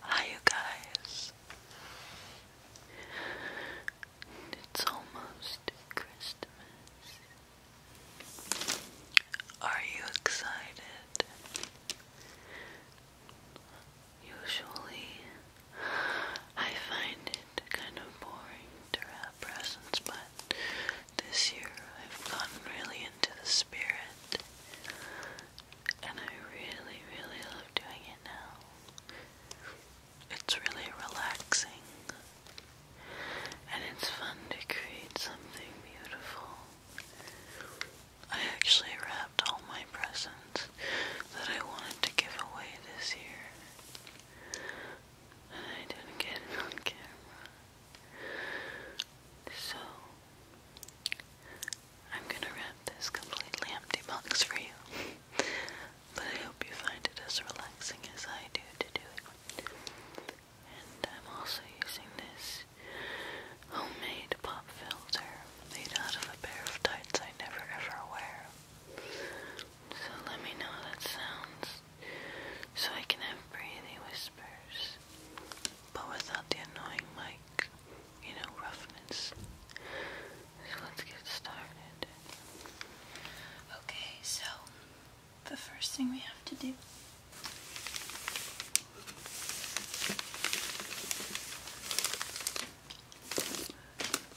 Hi, you guys. It's almost Christmas. Are you excited? Usually, I find kind of boring to wrap presents, but this year I've gotten really into the spirit and I really, really love doing it now. It's really relaxing and it's fun to create something beautiful. I actually wrapped all my presents that I wanted to give away this year. I didn't get it on camera. So, I'm gonna wrap this completely empty box for you. but I hope you find it as relaxing as I do to do it. And I'm also using this homemade pop filter made out of a pair of tights I never ever wear. So let me know how that sounds so I can have breathing whispers, but without the annoying mic, you know, roughness. let's get started. Okay, so the first thing we have to do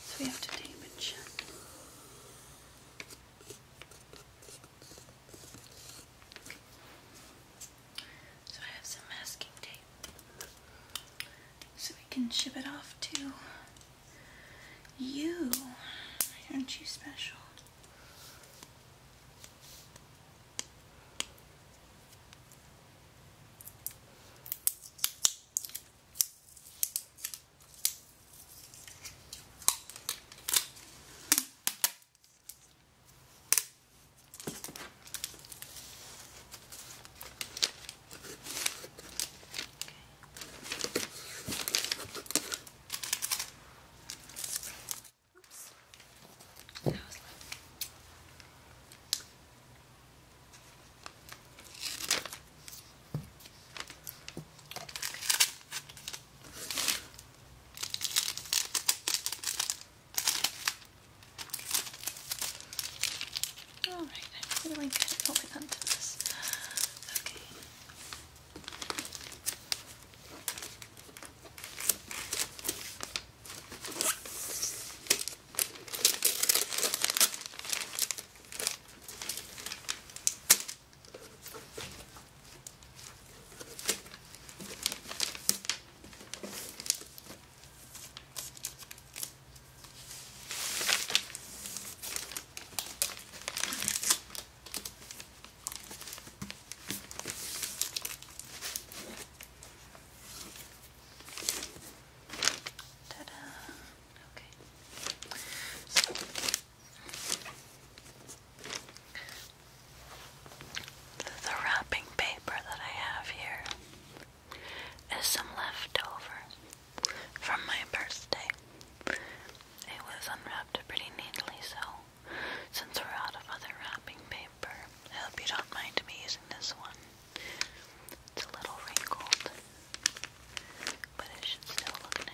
so we have to tape and shut. So I have some masking tape. So we can ship it off to you. Aren't you special? Oops. That was loud. Okay. All right, I'm feeling good. I'll get onto this. Okay. Ta-da! Okay. So the wrapping paper that I have here is some leftover from my birthday. It was unwrapped pretty neatly, so since we're out of other wrapping paper, I hope you don't mind me using this one. It's a little wrinkled but it should still look nice.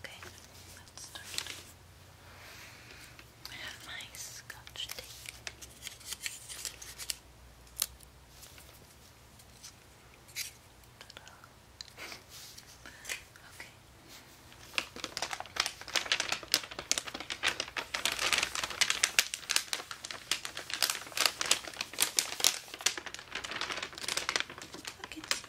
Okay, let's start. I have my scotch tape. Okay. I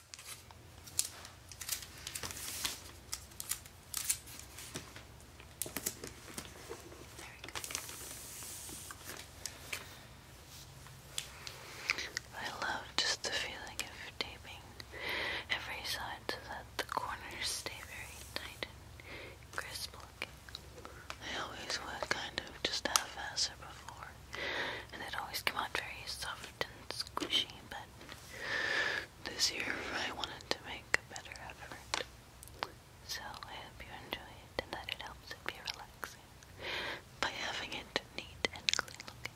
I love just the feeling of taping every side so that the corners stay very tight and crisp looking. always would kind of just half-ass before and it always came out very soft and squishy, but this year I wanted to make a better effort. So I hope you enjoy it and that it helps you be relaxing by having it neat and clean looking.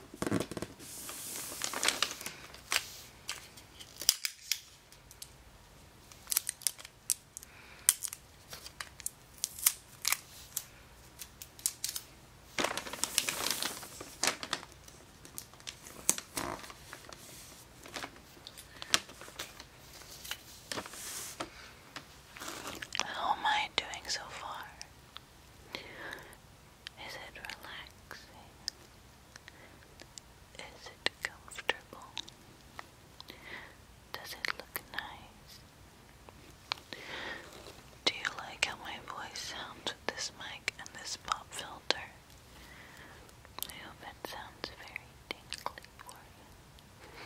How am I doing so far? Is it relaxing? Is it comfortable? Does it look nice? Do you like how my voice sounds with this mic and this pop filter? I hope it sounds very tingly for you.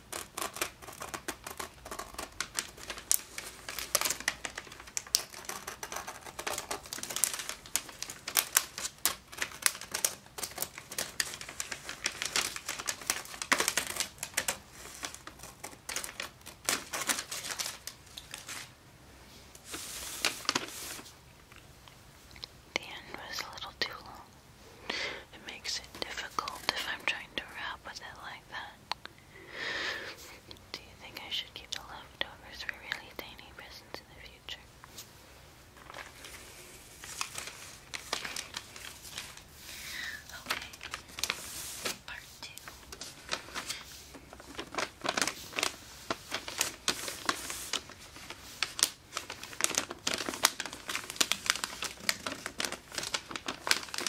The end was a little too long. It makes it difficult if I'm trying to wrap with it like that. Do you think I should keep the leftovers for really tiny presents in the future? Okay, part two.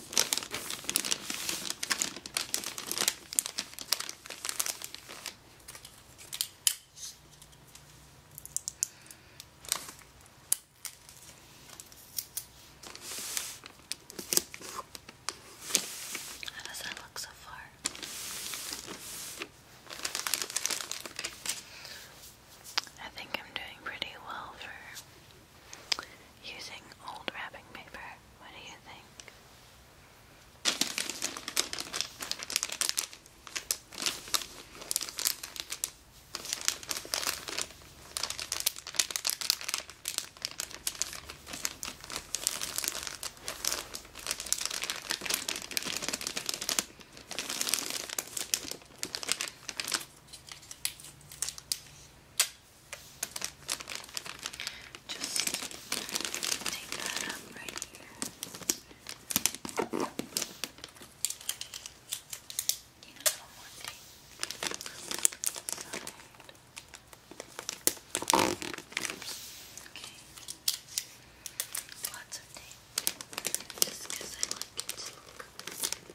How does that look so far? I think I'm doing pretty well for Using old wrapping paper, what do you think? Just take that up right here. Need a little more tape. Side. Okay. Lots of tape. Just I like it to look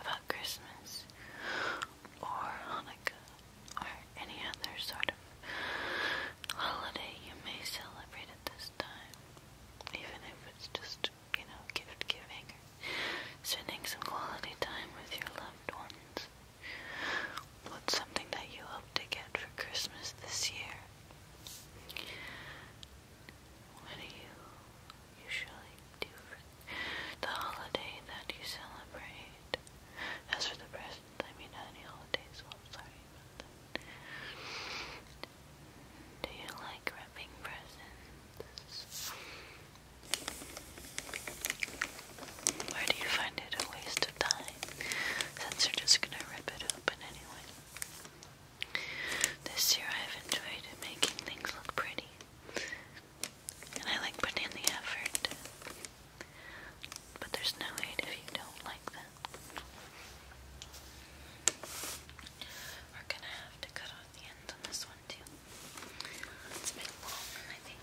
about Christmas or Hanukkah or any other sort of holiday you may celebrate at this time, even if it's just, you know, gift giving or spending some quality time with your loved ones. What's something that you hope to get for Christmas this year? What do you usually do for the holiday that you celebrate. As for the presents, I mean any holidays, I'm sorry about that. Do you like wrapping presents? Or do you find it a waste of time? Since you're just gonna rip it open anyway. This year I've enjoyed making things look pretty. And I like putting in the effort. But there's no hate if you don't like them. We're gonna have to cut off the ends on this one too. It's a bit long, I think.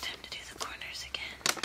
Time to do the corners again.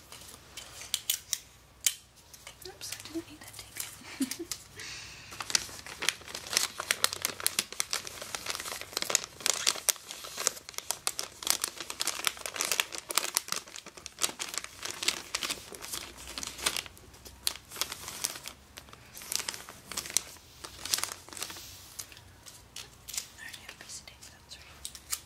Oops, I didn't need that tape. I already have a piece of tape, that's right.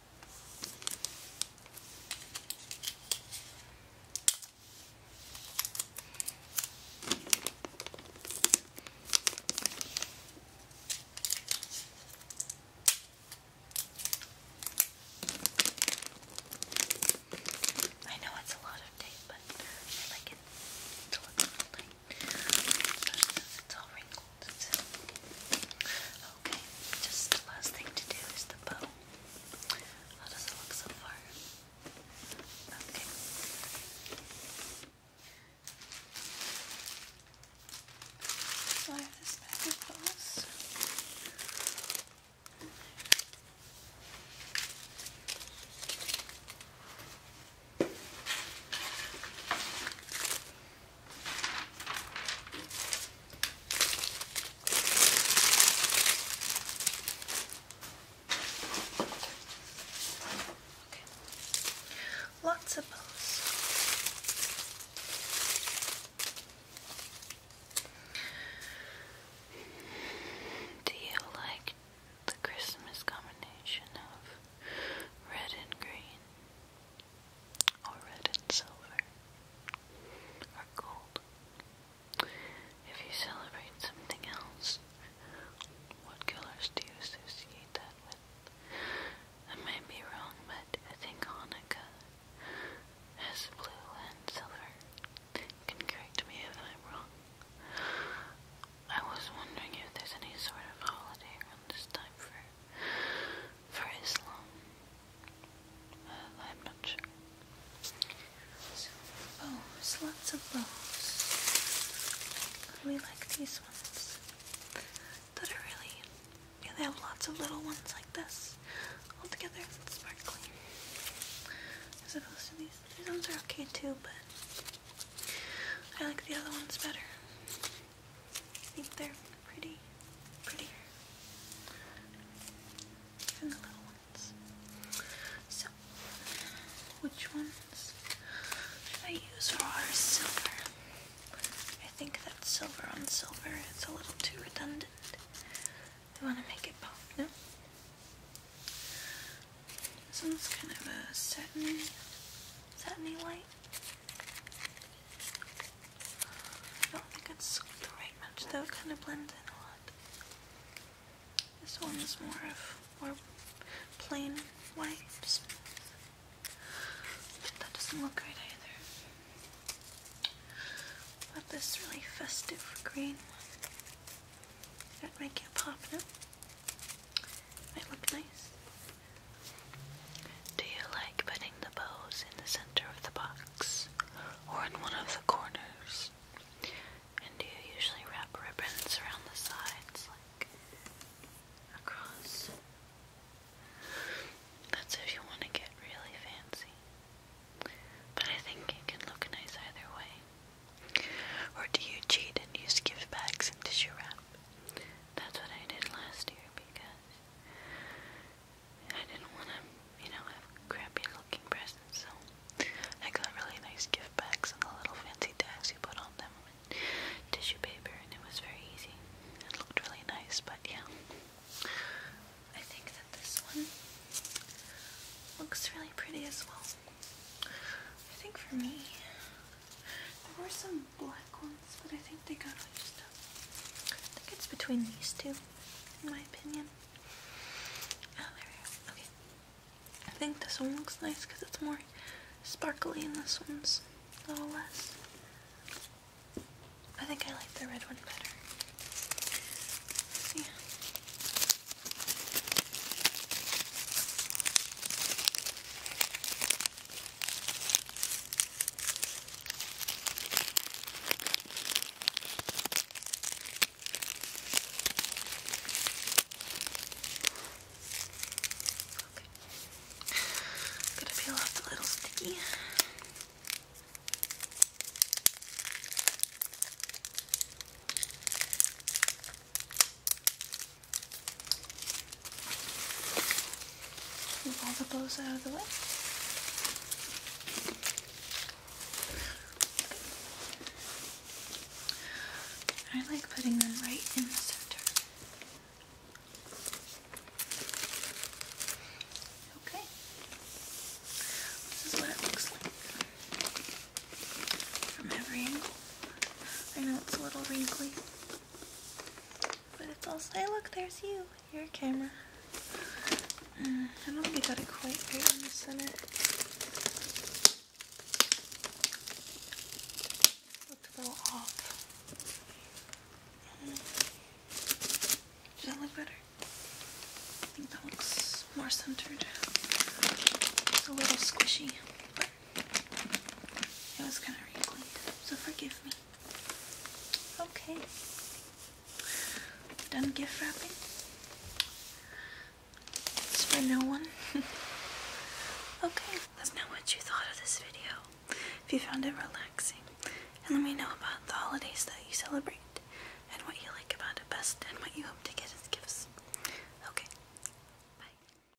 I know it's a lot of tape, but I like it to look tight. It's all that's Okay, just the last thing to do is the bow. How does it look so far? Okay. So I have this magic pose. Okay. Lots of bows. Do you like the Christmas combination of red and green? or red and silver, or gold. If you celebrate something else, what colors do you associate that with? I might be wrong, but I think Hanukkah has blue and silver. can correct me if I'm wrong. I was wondering if there's any sort of holiday around this time for for Islam. Uh, I'm not sure. So bows, lots of bows. We like these ones that are really. Yeah, they have lots of little ones like this, all together and sparkly. As opposed to these, these ones are okay too, but I like the other ones better. I think they're pretty, pretty, than the little ones. So, which ones should I use for our silver? I think that silver on silver its a little too redundant. I want to make it pop, no? This one's kind of a satiny, satiny light. I don't think it's the right match though, it kind of blends in a lot. This one is more of more plain white. that doesn't look great either. But this really festive green That might get popping up. Might look nice. Do you like putting the bows in the center of the box or in one of the corners? And do you usually wrap ribbons around the sides, like across? That's if you want to get really fancy. But I think it can look nice either way. Or do you cheat and use gift bags and tissue wrap? that's what I did last year because I didn't want to, you know, have crappy looking presents, so I got really nice gift bags and the little fancy tags you put on them and tissue paper, and it was very easy. It looked really nice, but yeah. I think that this one looks really pretty as well. I think for me, there were some black ones, but I think they got mixed up. I think it's between these two, in my opinion. Oh, there we are. Okay. I think this one looks nice because it's more sparkly and this one's a little less. I think I like the red one better. Yeah. I'm gonna peel off the little sticky. Move all the bows out of the way. I like putting them right in the center. Okay. This is what it looks like from every angle. I know it's a little wrinkly. But it's all say. look, there's you, your camera. Uh, I don't think I got it quite right in the center. Looked a little off. Does that look better? I think that looks more centered. It's a little squishy, but it was kind of wrinkled, so forgive me. Okay. Done gift wrapping. It's for no one. okay, let us know what you thought of this video. If you found it relaxing, and let me know about the holidays that you celebrate, and what you like about it best, and what you hope to get as gifts. Okay, bye.